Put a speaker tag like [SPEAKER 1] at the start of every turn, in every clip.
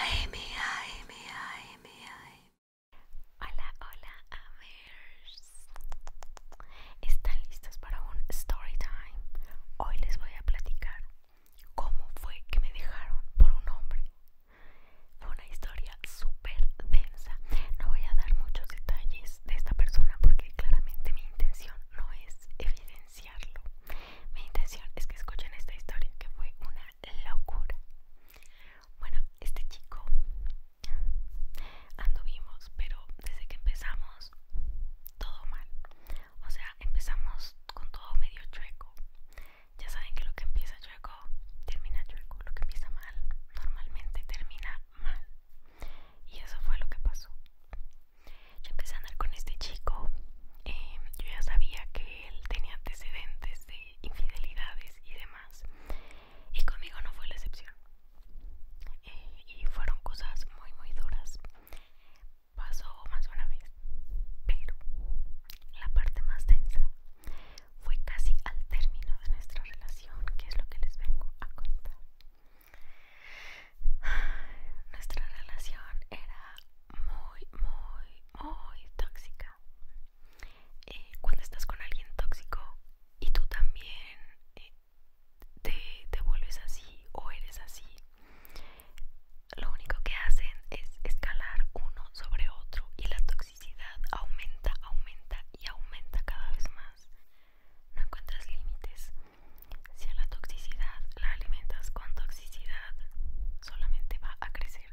[SPEAKER 1] Ay mi, ay mi, ay Hola, hola, amers. ¿Están listos para un story time? Hoy les voy a platicar cómo fue que me dejaron por un hombre. Fue una historia súper densa. No voy a dar muchos detalles de esta persona porque claramente mi intención no es evidenciarlo. Mi intención es que escuchen esta historia que fue una locura. Bueno, este chico anduvimos, pero desde que empezamos todo mal. O sea, empezamos con todo medio chueco. Ya saben que lo que empieza chueco termina chueco, lo que empieza mal normalmente termina mal. Y eso fue lo que pasó. Yo empecé a andar con este chico Em, yo ya sabía que él tenía antecedentes de infidelidades y demás. Y conmigo no fue la excepción. Eh, y fueron cosas muy, muy duras. Pasó más una vez. Pero la parte más densa fue casi al término de nuestra relación, que es lo que les vengo a contar. Nuestra relación era muy, muy, muy tóxica. Eh, cuando estás con alguien tóxico y tú también eh, te, te vuelves así o eres así, lo único que hacen es escalar uno sobre otro y la toxicidad aumenta, aumenta y aumenta cada vez más. No encuentras límites. Si a la toxicidad la alimentas con toxicidad, solamente va a crecer.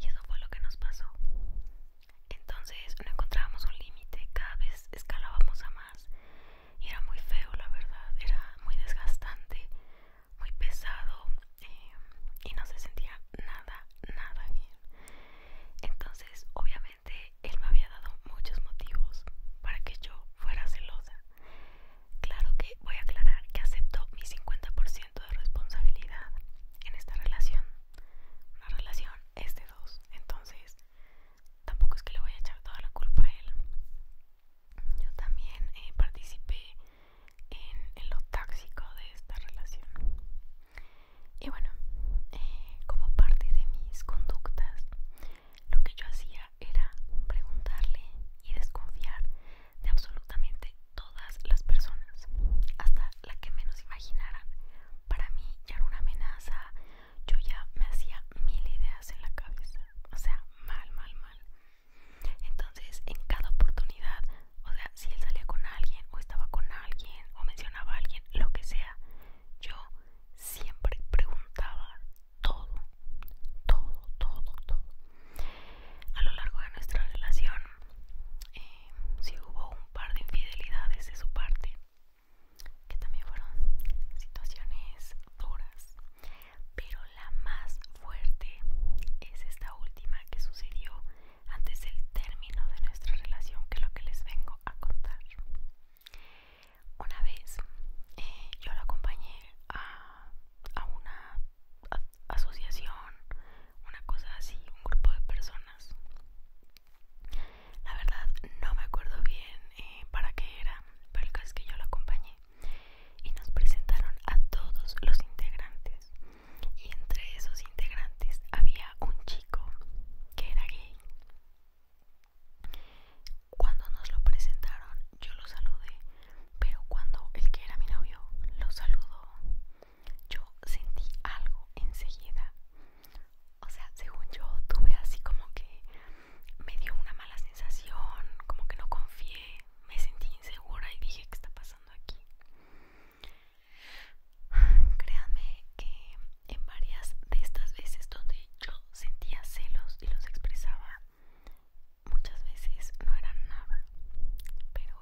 [SPEAKER 1] Y eso fue lo que nos pasó. Entonces no encontrábamos un límite, cada vez escalábamos a más. Y era muy feo, la verdad. Era muy desgastante, muy pesado. Eh, y no se sentía nada, nada bien. Entonces, obviamente, él me había dado muchos motivos para que yo fuera celosa. Claro que voy a aclarar que acepto mi 50% de responsabilidad en esta relación. Una relación es de dos, entonces tampoco es que le voy a echar toda la culpa a él. Yo también eh, participé en, lo tóxico de esta relación. Y bueno, eh, como parte de mis conductas, lo que yo hacía era preguntarle y desconfiar de absolutamente todas las personas, hasta la que menos imaginaran. Para mí ya era una amenaza, yo ya me hacía mil ideas en la cabeza, o sea, mal, mal, mal. Entonces, en cada oportunidad, o sea, si él salía con alguien o estaba con alguien o mencionaba a alguien, lo que sea, yo siempre preguntaba todo, todo, todo, todo. A lo largo de nuestra relación, eh, sí hubo un par de infidelidades de su parte, que también fueron situaciones duras, pero la más fuerte es esta última que sucedió antes del término de nuestra relación, que es lo que les vengo a contar. Una vez eh, yo lo acompañé a, una asociación, una cosa así, un grupo de personas. La verdad no me acuerdo bien eh, para qué era, pero el caso es que yo lo acompañé y nos presentaron a todos los integrantes. Y entre esos integrantes había un chico que era gay cuando nos lo presentaron yo lo saludé, pero cuando el que era mi novio lo saludó, yo sentí algo enseguida. O sea, según yo tuve así como que me dio una mala sensación, como que no confié, me sentí insegura y dije, ¿qué está pasando aquí? Créanme que en varias de estas veces donde yo sentía celos y los expresaba, muchas veces no era nada pero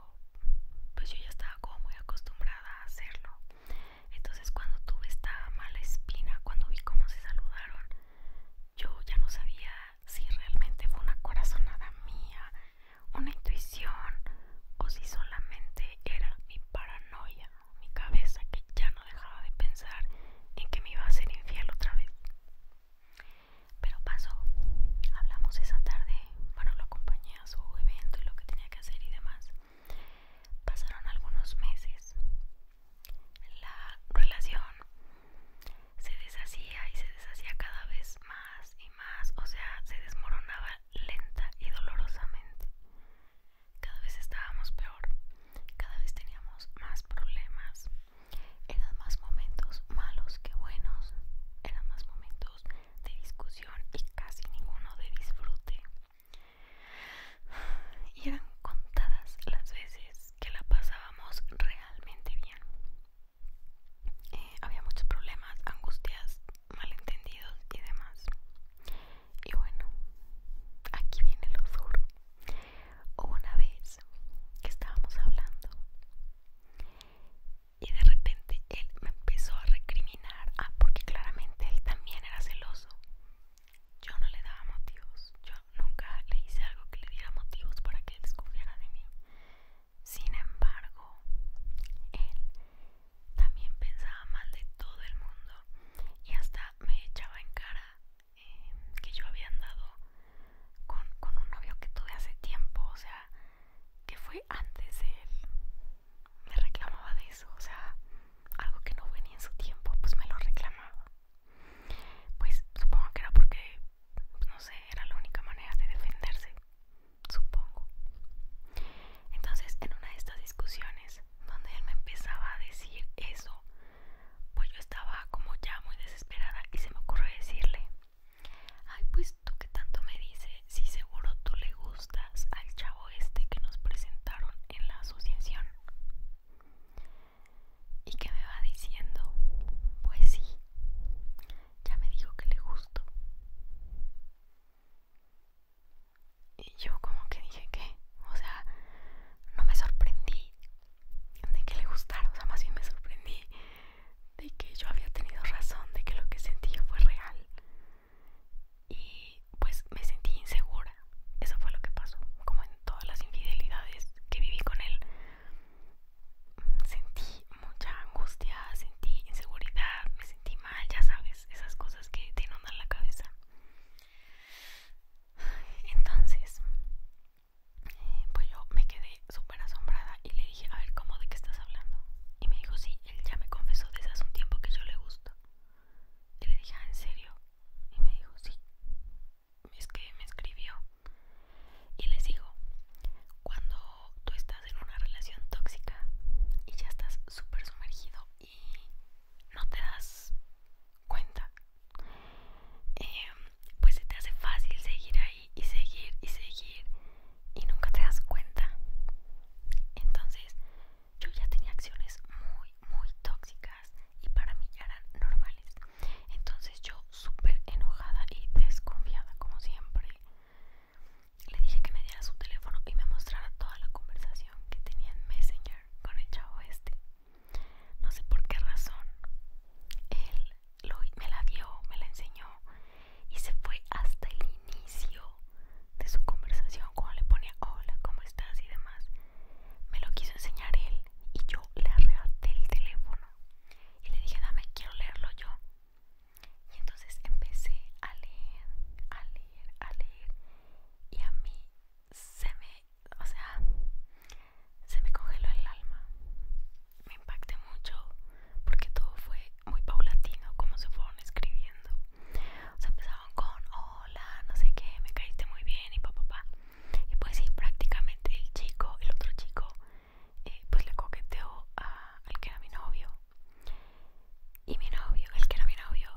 [SPEAKER 1] pues yo ya estaba como muy acostumbrada a hacerlo entonces cuando tuve esta mala espina cuando vi cómo se saludaron yo ya no sabía si realmente fue una corazonada mía una intuición o si solamente era mi paranoia mi cabeza que ya no dejaba de pensar en que me iba a ser infiel otra vez. Pero pasó, hablamos esa tarde, bueno, lo acompañé a su evento y lo que tenía que hacer y demás. Pasaron algunos meses, la relación se deshacía y se deshacía cada vez más y más, o sea, se desmoronaba lenta y dolorosamente cada vez estábamos peor, cada vez teníamos más problemas, eran más momentos malos que buenos, eran más momentos de discusión y casi ninguno de disfrute. Y eran contadas las veces que la pasábamos realmente bien. Eh, había muchos problemas, angustias, malentendidos y demás. Y bueno, aquí viene lo duro. una vez que estábamos hablando y de repente él me empezó a recriminar, ah, porque claramente él también era celoso. Yo no le daba motivos, yo nunca le hice algo que le diera motivos para que él descubriera de mí. Sin embargo, él también pensaba mal de todo el mundo y hasta me echaba en cara Em, que yo había andado con, con un novio que tuve hace tiempo, o sea, que fue antes de él, me reclamaba de eso, o sea, algo que no fue ni en su tiempo, pues me lo reclamaba. Pues supongo que era porque, no sé, era la única manera de defenderse, supongo. Entonces, en una de estas discusiones, donde él me empezaba a decir eso, pues yo estaba como ya muy desesperada y se me ocurrió decirle, ay pues tú que tanto me dice, si seguro tú le gustas al chavo este que nos presentaron en la asociación. ¿Y que me va diciendo? Pues sí, ya me dijo que le gustó. Y yo como que dije que, o sea, no me sorprendí de que le gustara, o sea, más bien me sorprendí de que yo había tenido razón, de que lo que sentía fue real. Y pues me sentí insegura, eso fue lo que pasó, como en todas las infidelidades que viví con él. Sentí mucha angustia, sentí inseguridad, me sentí mal, ya sabes, esas cosas que te inundan la cabeza. Entonces, eh, pues yo me quedé súper asombrada y le dije, a ver, ¿cómo de qué estás hablando? Y me dijo, sí, él ya me confesó desde hace un tiempo que yo le gusto. Y le dije, ah, ¿en serio? Y me dijo, sí. Es que me escribió. Y les digo, cuando tú estás en una relación tóxica y ya estás súper sumergido y no te das cuenta em, pues se te hace fácil seguir ahí y seguir y seguir y nunca te das cuenta entonces yo ya tenía acciones muy muy tóxicas y para mí ya eran normales entonces yo súper enojada y desconfiada como siempre le dije que me diera su teléfono y me mostrara toda la conversación que tenía en Messenger con el chavo este. No sé por qué razón. Él me la dio, me la enseñó y se fue hasta el inicio de su conversación cuando le ponía hola, ¿cómo estás? y demás. Me lo quiso enseñar él y yo le arrebaté el teléfono y le dije, dame, quiero leerlo yo. Y entonces empecé a leer, a leer, a leer y a mí se me, o sea, se me congeló el alma. Me impacté mucho porque todo fue muy paulatino, como se fueron escribiendo. O sea, empezaban con hola, no sé qué, me caíste muy bien y papá, papá. Y pues sí, prácticamente el chico, el otro chico, eh, pues le coqueteó al que era mi novio. Y mi novio, el que era mi novio,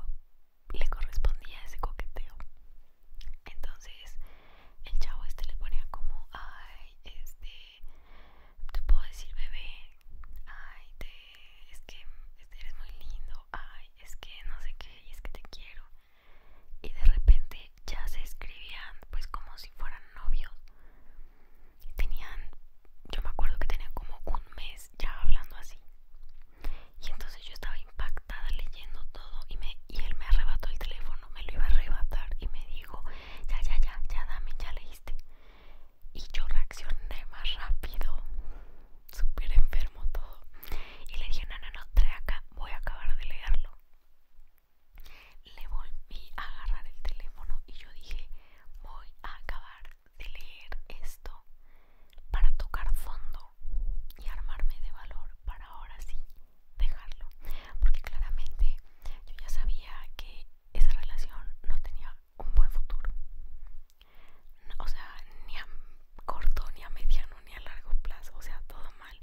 [SPEAKER 1] le correspondía ese coqueteo. Entonces el chavo este le ponía como, ay, este, te puedo decir bebé, ay, te, es que este, eres muy lindo, ay, es que no sé qué, y es que te quiero. Y de repente ya se escribían pues como si fueran novios. Tenían, yo me acuerdo que tenían como un mes ya hablando así. Y entonces yo estaba impactada leyendo todo y, me, y él me arrebató el teléfono, me lo iba a arrebatar y me dijo, ya, ya, ya, ya dame, ya leíste. Y yo reaccioné más rápido, súper enfermo todo. Y le dije, no, no, no, trae acá, voy a acabar de leerlo. Le volví a agarrar el teléfono y yo dije, voy a acabar de leer esto para tocar fondo y armarme de valor para ahora sí dejarlo. Porque claramente yo ya sabía que esa relación no tenía un buen futuro. O sea, ni a corto, ni a mediano, ni a largo plazo. O sea, todo mal.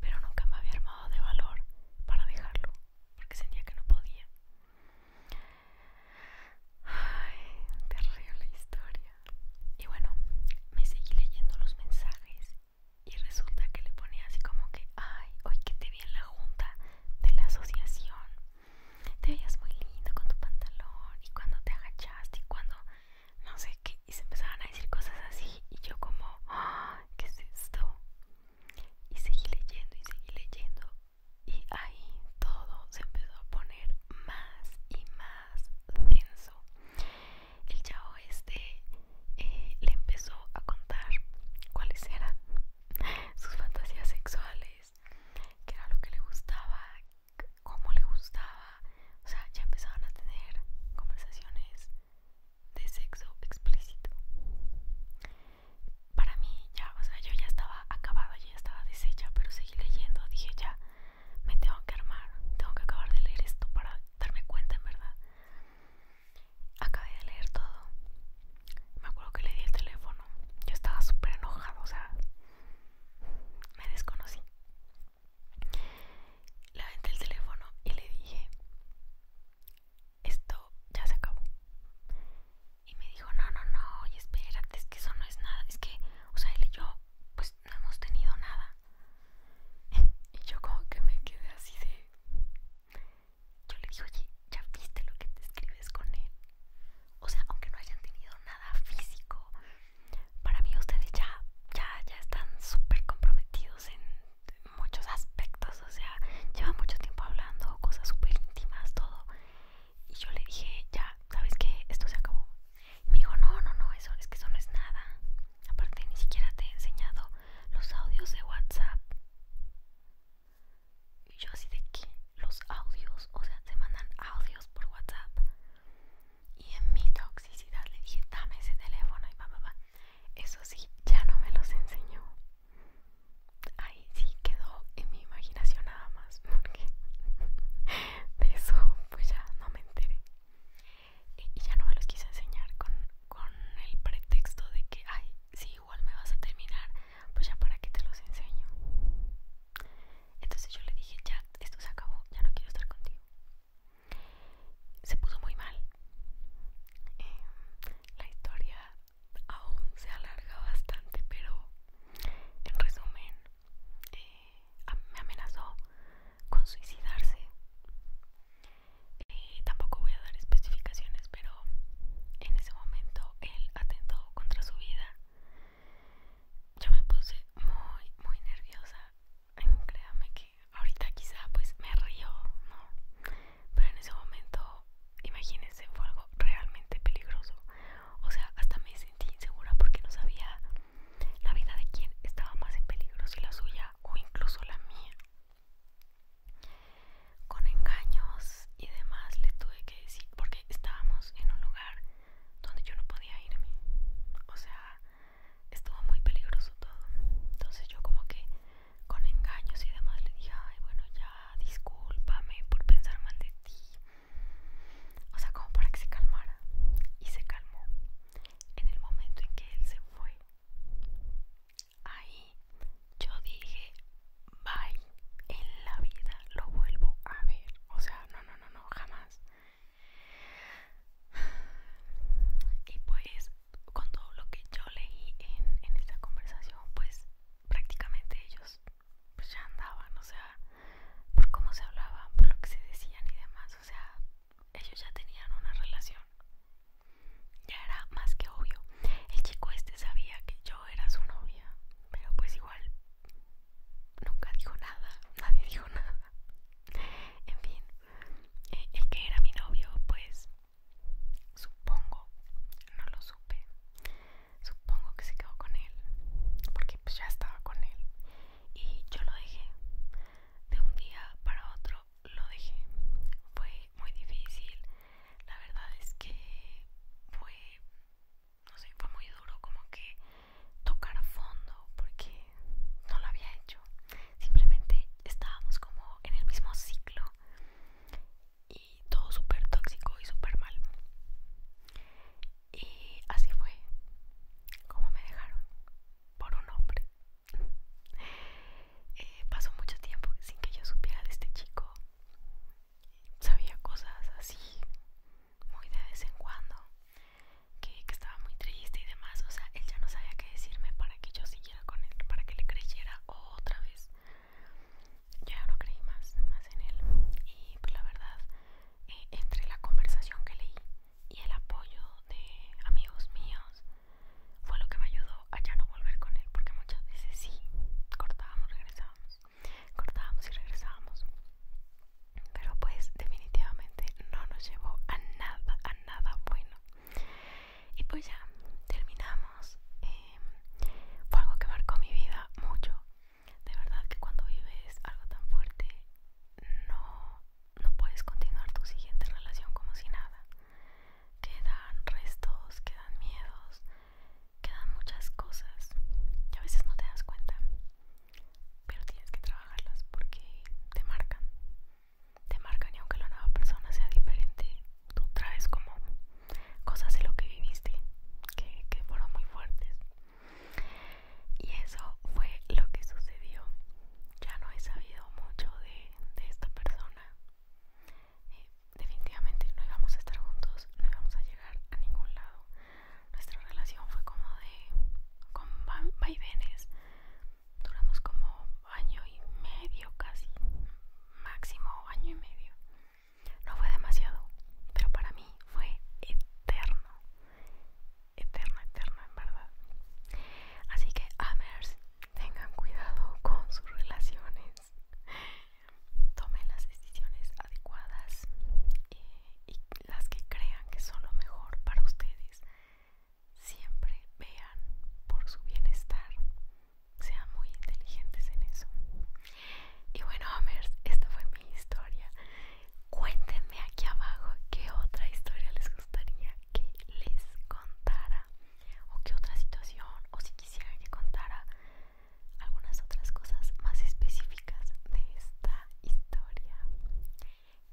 [SPEAKER 1] Pero nunca me había armado de valor para dejarlo. Porque sentía que no podía. Ay, terrible historia. Y bueno, me seguí leyendo los mensajes y resulta que le ponía así como que, ay, hoy que te vi en la junta de la asociación. Te veías muy lindo con tu pantalón y cuando te agachaste y cuando, no sé qué, y se empezaban a decir cosas así y yo como, ¿qué es esto? Y seguí leyendo y seguí leyendo y ahí todo se empezó a poner más y más denso. El chavo este eh, le empezó a contar cuáles eran sus fantasías sexuales, qué era lo que le gustaba, cómo le gustaba. O sea, ya empezaban a tener conversaciones de sexo explícito para mí ya, o sea, yo ya estaba acabada, ya estaba deshecha, pero seguí leyendo, dije ya, me tengo que armar, tengo que acabar de leer esto para darme cuenta en verdad. Acabé de leer todo, me acuerdo que le di el teléfono, yo estaba súper enojada, o sea, me desconocí. Le aventé el teléfono y le dije, esto ya se acabó. Y me dijo, no, no, no, y espérate, es que eso no es nada. Es que, o sea, él y yo, pues no hemos tenido nada. y yo como que me quedé así de... Yo le dije, oye, ¿ya viste lo que te escribes con él? O sea, aunque no hayan tenido nada físico, para mí ustedes ya, ya, ya están súper comprometidos en muchos aspectos. O sea, llevan mucho tiempo hablando, cosas súper íntimas, todo. Y yo le dije, ya, ¿sabes qué? Esto se acabó. Y me dijo, no, no, no, eso es que eso no es nada. Aparte, ni siquiera te he enseñado los audios de WhatsApp. Y yo así de que los audios, o sea, ¿se mandan audios por WhatsApp. Y en mi toxicidad le dije, dame ese teléfono y papá. Eso sí, ya no me los enseñó. Ahí sí quedó en mi imaginación nada más, porque de eso pues ya no me enteré. Eh, y ya no me los quise enseñar con, el pretexto de que, ay, si igual me vas a terminar, pues ya para qué te los enseño. Entonces yo le dije, ya, esto se acabó, ya no quiero estar contigo. Se puso muy mal. Eh, la historia aún se alarga bastante, pero en resumen, eh, me amenazó con suicidarse. Eh, tampoco voy a dar especificaciones, pero en ese momento él atentó contra su vida. Yo me puse muy, muy nerviosa. créanme que ahorita quizá pues me río, ¿no? pero en ese momento, imagínense, fue algo realmente peligroso. O sea, hasta me sentí insegura porque no sabía la vida de quién estaba más en peligro, si la suya o incluso la mía. Con engaños y demás le tuve que decir, porque estábamos en un lugar donde yo no podía irme. O sea, estuvo muy peligroso todo. Entonces yo como que con engaños y demás le dije, ay, bueno, ya Ah, discúlpame por pensar mal de ti. O sea, como para que se calmara. Y se calmó. En el momento en que él se fue, ahí yo dije, bye, en la vida lo vuelvo a ver. O sea, no, no, no, no, jamás. Y pues, con todo lo que yo leí en, en esta conversación, pues prácticamente ellos pues, ya andaban, o sea, por cómo se hablaban, por lo que se decían y demás, o sea, ellos ya tenían una relación. Ya era más que obvio. El chico este sabía que yo era su novia, pero pues igual nunca dijo nada, nadie dijo nada. En fin, eh, el que era mi novio, pues Supongo, no lo supe. Supongo que se quedó con él, porque pues ya estaba con él. Y yo lo dejé. De un día para otro lo dejé. Fue muy difícil. La verdad es que fue, no sé, fue muy duro como que tocar a fondo, porque no lo había hecho. Simplemente estábamos como en el mismo ciclo y todo súper tóxico y súper mal. Y así fue como me dejaron por un hombre. Eh, pasó mucho tiempo sin que yo supiera de este chico. Sabía cosas así, muy de vez en cuando, que, que estaba muy triste y demás. O sea, él ya no sabía qué decirme para que yo siguiera con él, para que le creyera otra vez ya no creí más, más en él y pues la verdad eh, entre la conversación que leí y el apoyo de amigos míos fue lo que me ayudó a ya no volver con él porque muchas veces sí cortábamos, regresábamos, cortábamos y regresábamos pero pues definitivamente no nos llevó a nada, a nada bueno y pues ya, terminamos. Em, fue algo que marcó mi vida mucho. De verdad que cuando vives algo tan fuerte, no, no puedes continuar tu siguiente relación como si nada. Quedan restos, quedan miedos, quedan muchas cosas que a veces no te das cuenta. Pero tienes que trabajarlas porque te marcan. Te marcan y aunque la nueva persona sea diferente, tú traes como cosas de lo que viviste que, fueron muy fuertes y eso fue lo que sucedió ya no he sabido mucho de, esta persona eh, definitivamente no íbamos a estar juntos no íbamos a llegar a ningún lado nuestra relación fue como de con vaivenes duramos como año y medio casi máximo año y medio. No fue demasiado, pero para mí fue eterno. Eterno, eterno, en verdad. Así que, amers, tengan cuidado con sus relaciones. Tomen las decisiones adecuadas eh, y, las que crean que son lo mejor para ustedes. Siempre vean por su bienestar sean muy inteligentes en eso. Y bueno, Amers, esta fue mi historia. Cuéntenme aquí abajo qué otra historia les gustaría que les contara, o qué otra situación, o si quisieran que contara algunas otras cosas más específicas de esta historia.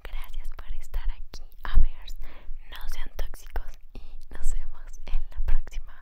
[SPEAKER 1] Gracias por estar aquí amers, no sean tóxicos y nos vemos en la próxima.